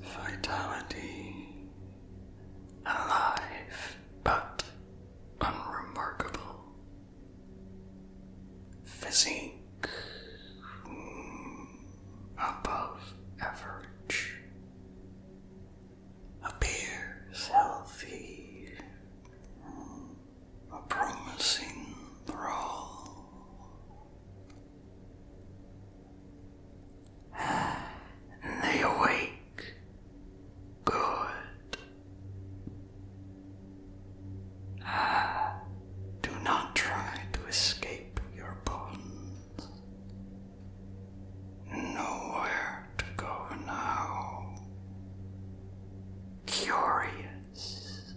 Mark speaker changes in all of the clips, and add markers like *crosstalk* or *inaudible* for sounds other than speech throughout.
Speaker 1: Vitality
Speaker 2: alive but unremarkable. Physique hmm, above average appears healthy a promising role. they awake good. Do not try to escape your bonds. Nowhere to go now. Curious.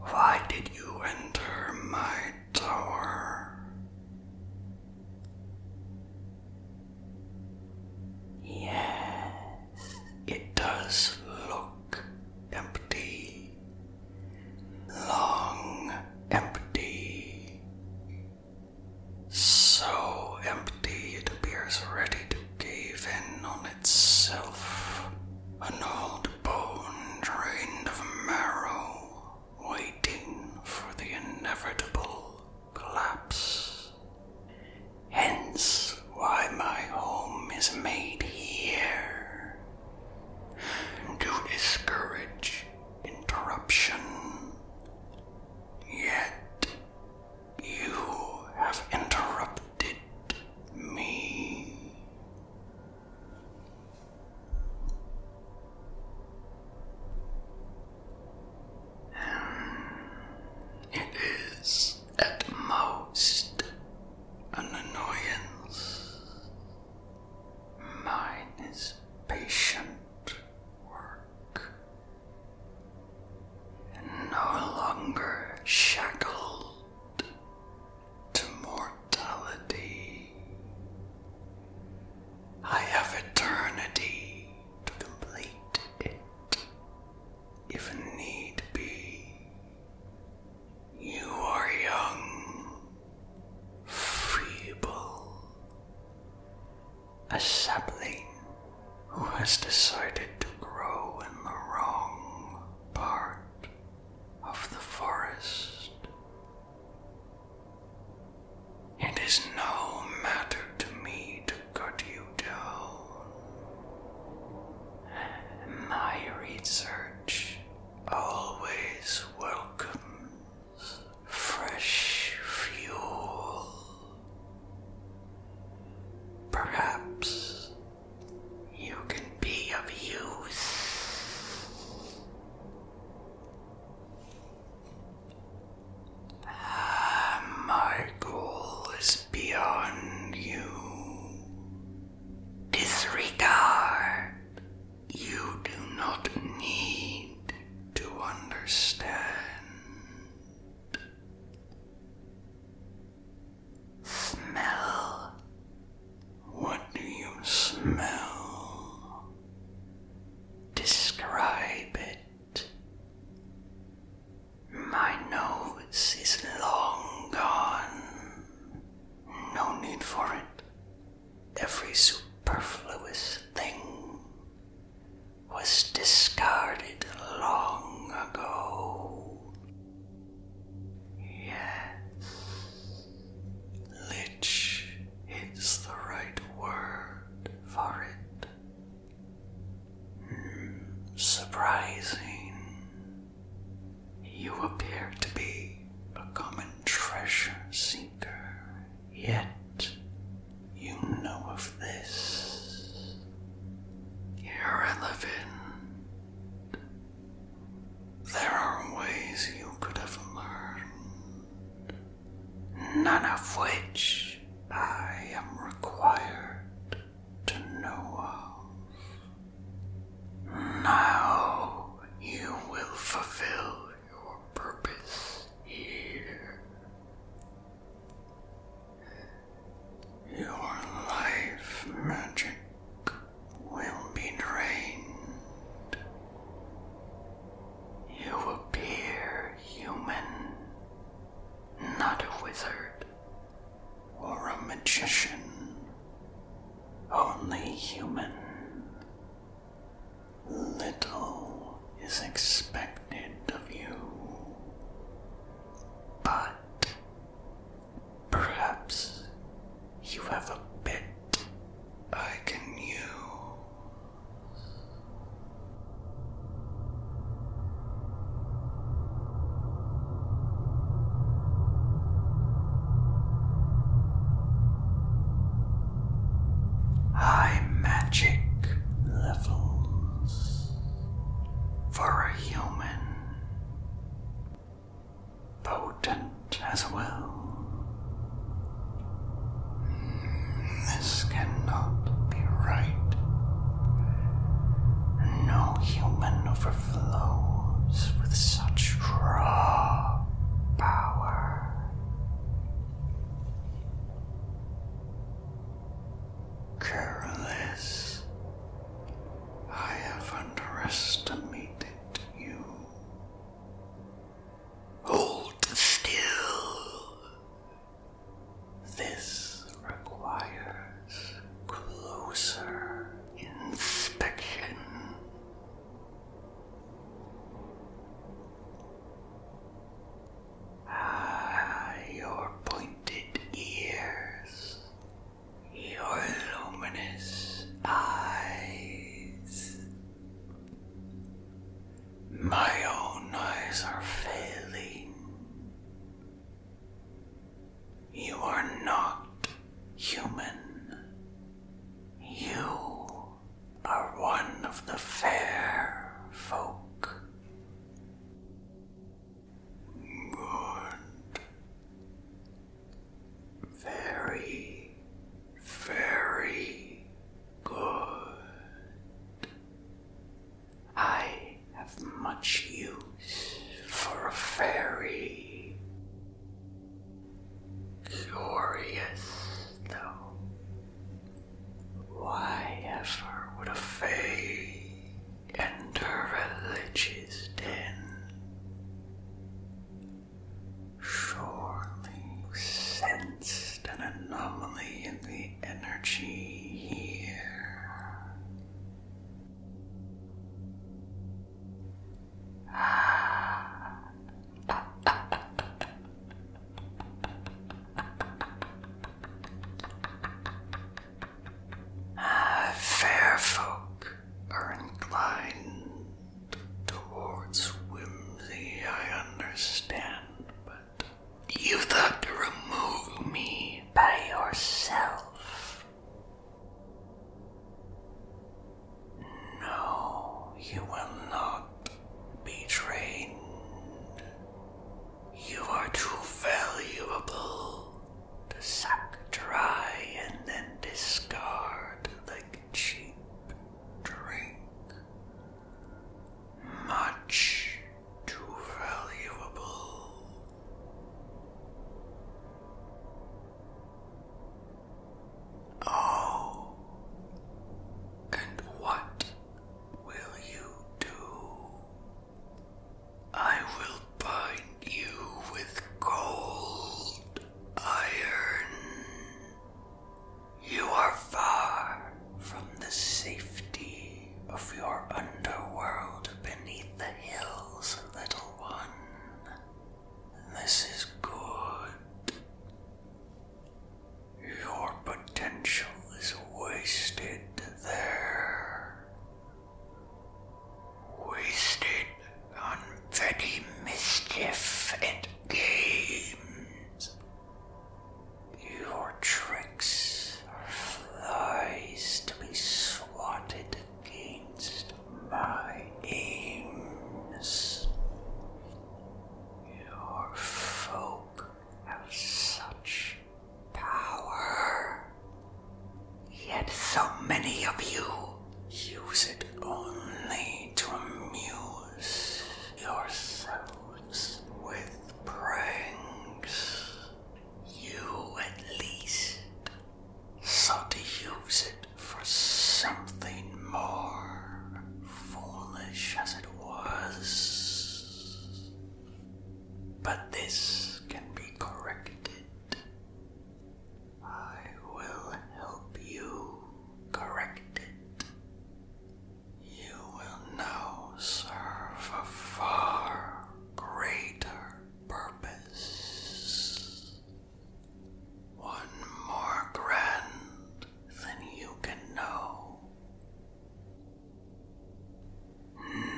Speaker 2: Why did you enter my tower? Yes, it does look empty. Long, empty. So empty it appears ready to cave in on itself. An old bone drained of marrow, waiting for the inevitable collapse. Hence why my home is made here. To discourage interruption. Yet you have interrupted me.
Speaker 1: It is
Speaker 2: at most an annoyance. Mine is patient work no longer shackled to mortality. I have eternity to complete it, if need be. You are young, feeble, a sapling who has decided to grow in the wrong part of the forest. It is no matter to me to cut you down. My research always welcomes fresh fuel. Perhaps you can be of use. Ah, my goal is beyond you. Disregard. You do not need to understand. Smell. What do you smell? Describe it. My nose is long gone. No need for it. Every superfluous thing was discarded long ago. Yes, lich is the right word for it. Hmm, surprising.
Speaker 1: You appear to be a common treasure
Speaker 2: seeker, yet you know of this. Irrelevant. There are ways you could have learned, none of which I am required to know of. Now you will
Speaker 1: fulfill your purpose here your life magic will be drained.
Speaker 2: You appear human, not a wizard or a magician, only human. Little is expected of you. But perhaps you have a bit I
Speaker 1: can use. High magic levels for a
Speaker 2: human, potent as well. This cannot be right. No human overflows with such raw power careless. I have underestimated you. Hold still. This requires closer
Speaker 1: inspection. Ah, your point pointed
Speaker 2: ears, your luminous eyes. My own eyes are failing. You are not human. You are one of the fair folk.
Speaker 1: Very, very good. I have much
Speaker 2: use for a fairy. Curious, though. Why ever would a fae and her religious den. Surely sensed an anomaly in the energy here. Ah. *laughs* fair folk are inclined towards whimsy, I understand, but you thought to remove me by yourself. No, you will not be trained. You are too valuable to suck dry and then discard like cheap drink. Much
Speaker 1: too valuable.
Speaker 2: Oh, and what will you do? I will bind you with cold iron. You are far from the safety of your underworld beneath the hills, little one. This is good. Your potential is wasted there
Speaker 1: wasted on petty mischief and games. Your tricks are flies to be swatted against my aims. Your folk
Speaker 2: have such power. Yet so many of you use it only to amuse yourselves with pranks. You at least sought to use it for something more foolish as it was. But this can be corrected. I will help you correct it. You will now serve a far greater purpose. One more grand than you can know.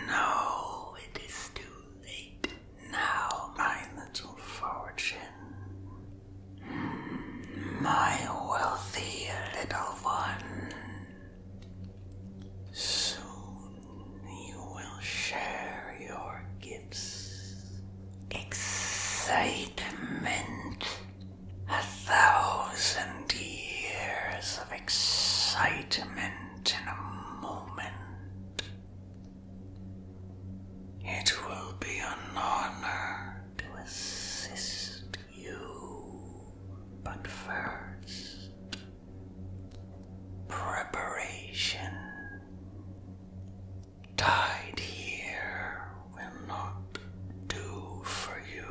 Speaker 2: No, it is too late now, my little fortune. My wealthy little one. Soon you will share your gifts. Excitement. A thousand years of excitement in a moment. It will be an honor to assist you, but first, preparation. Tied
Speaker 1: here will not do for you.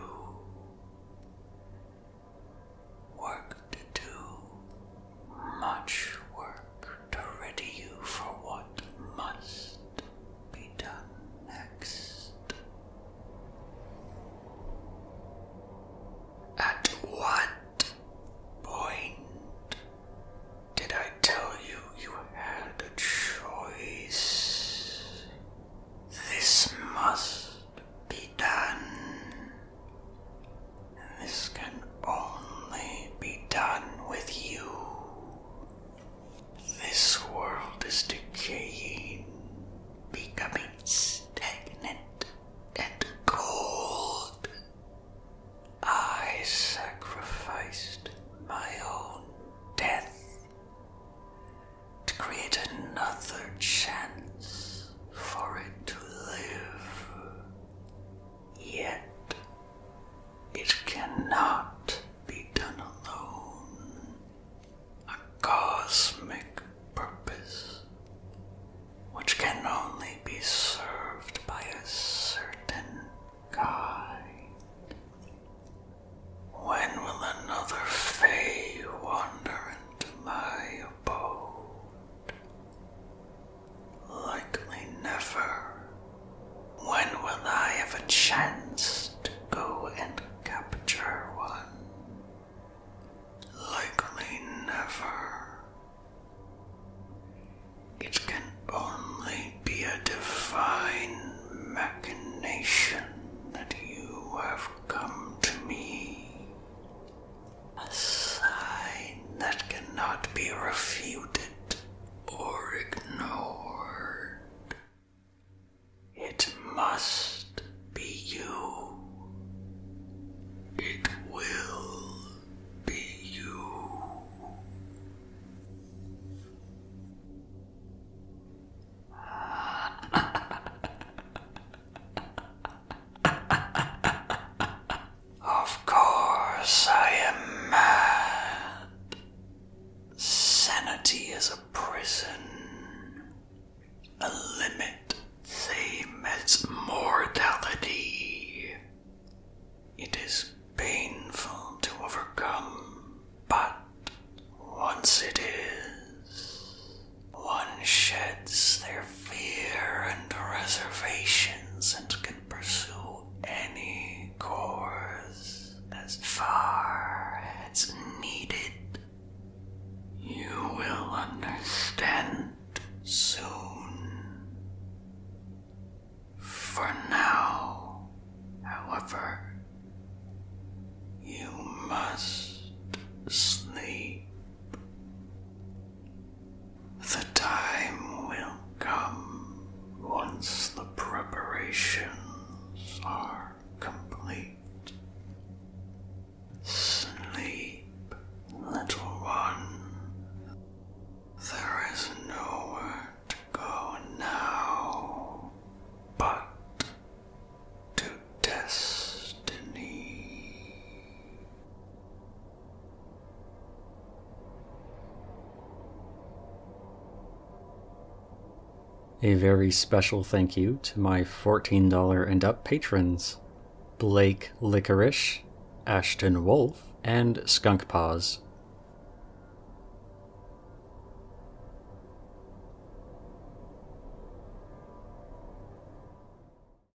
Speaker 1: Work to do, much work to ready you for what must be done next.
Speaker 2: At what point did I tell you you had a choice? This must be done. This can only be done with you. This world is decaying, becoming stagnant and cold. I sacrificed my own death to create another chance for it to live. Yet, it cannot be done alone. A cosmic purpose, which can only be served by a certain guide. When will another fay wander into my abode? Likely never. When will I have a chance to go and capture one? Likely
Speaker 1: never. It can only be a divine machination that you have come to me. A sign that cannot be refuted or ignored. It must be you. It will be you. *laughs* of course, I am mad. Sanity is a prison, a limit, same as It is painful to overcome,
Speaker 2: but once it is, one sheds their fear and reservations and can pursue any course as far as needed. You will understand soon. For now, however, you must sleep. The time will come once the preparations are complete. Sleep, little one. There is nowhere to go now but to destiny. A very special thank you to my $14 and up patrons Blake Licorice, Ashton Wolf, and Skunk Paws.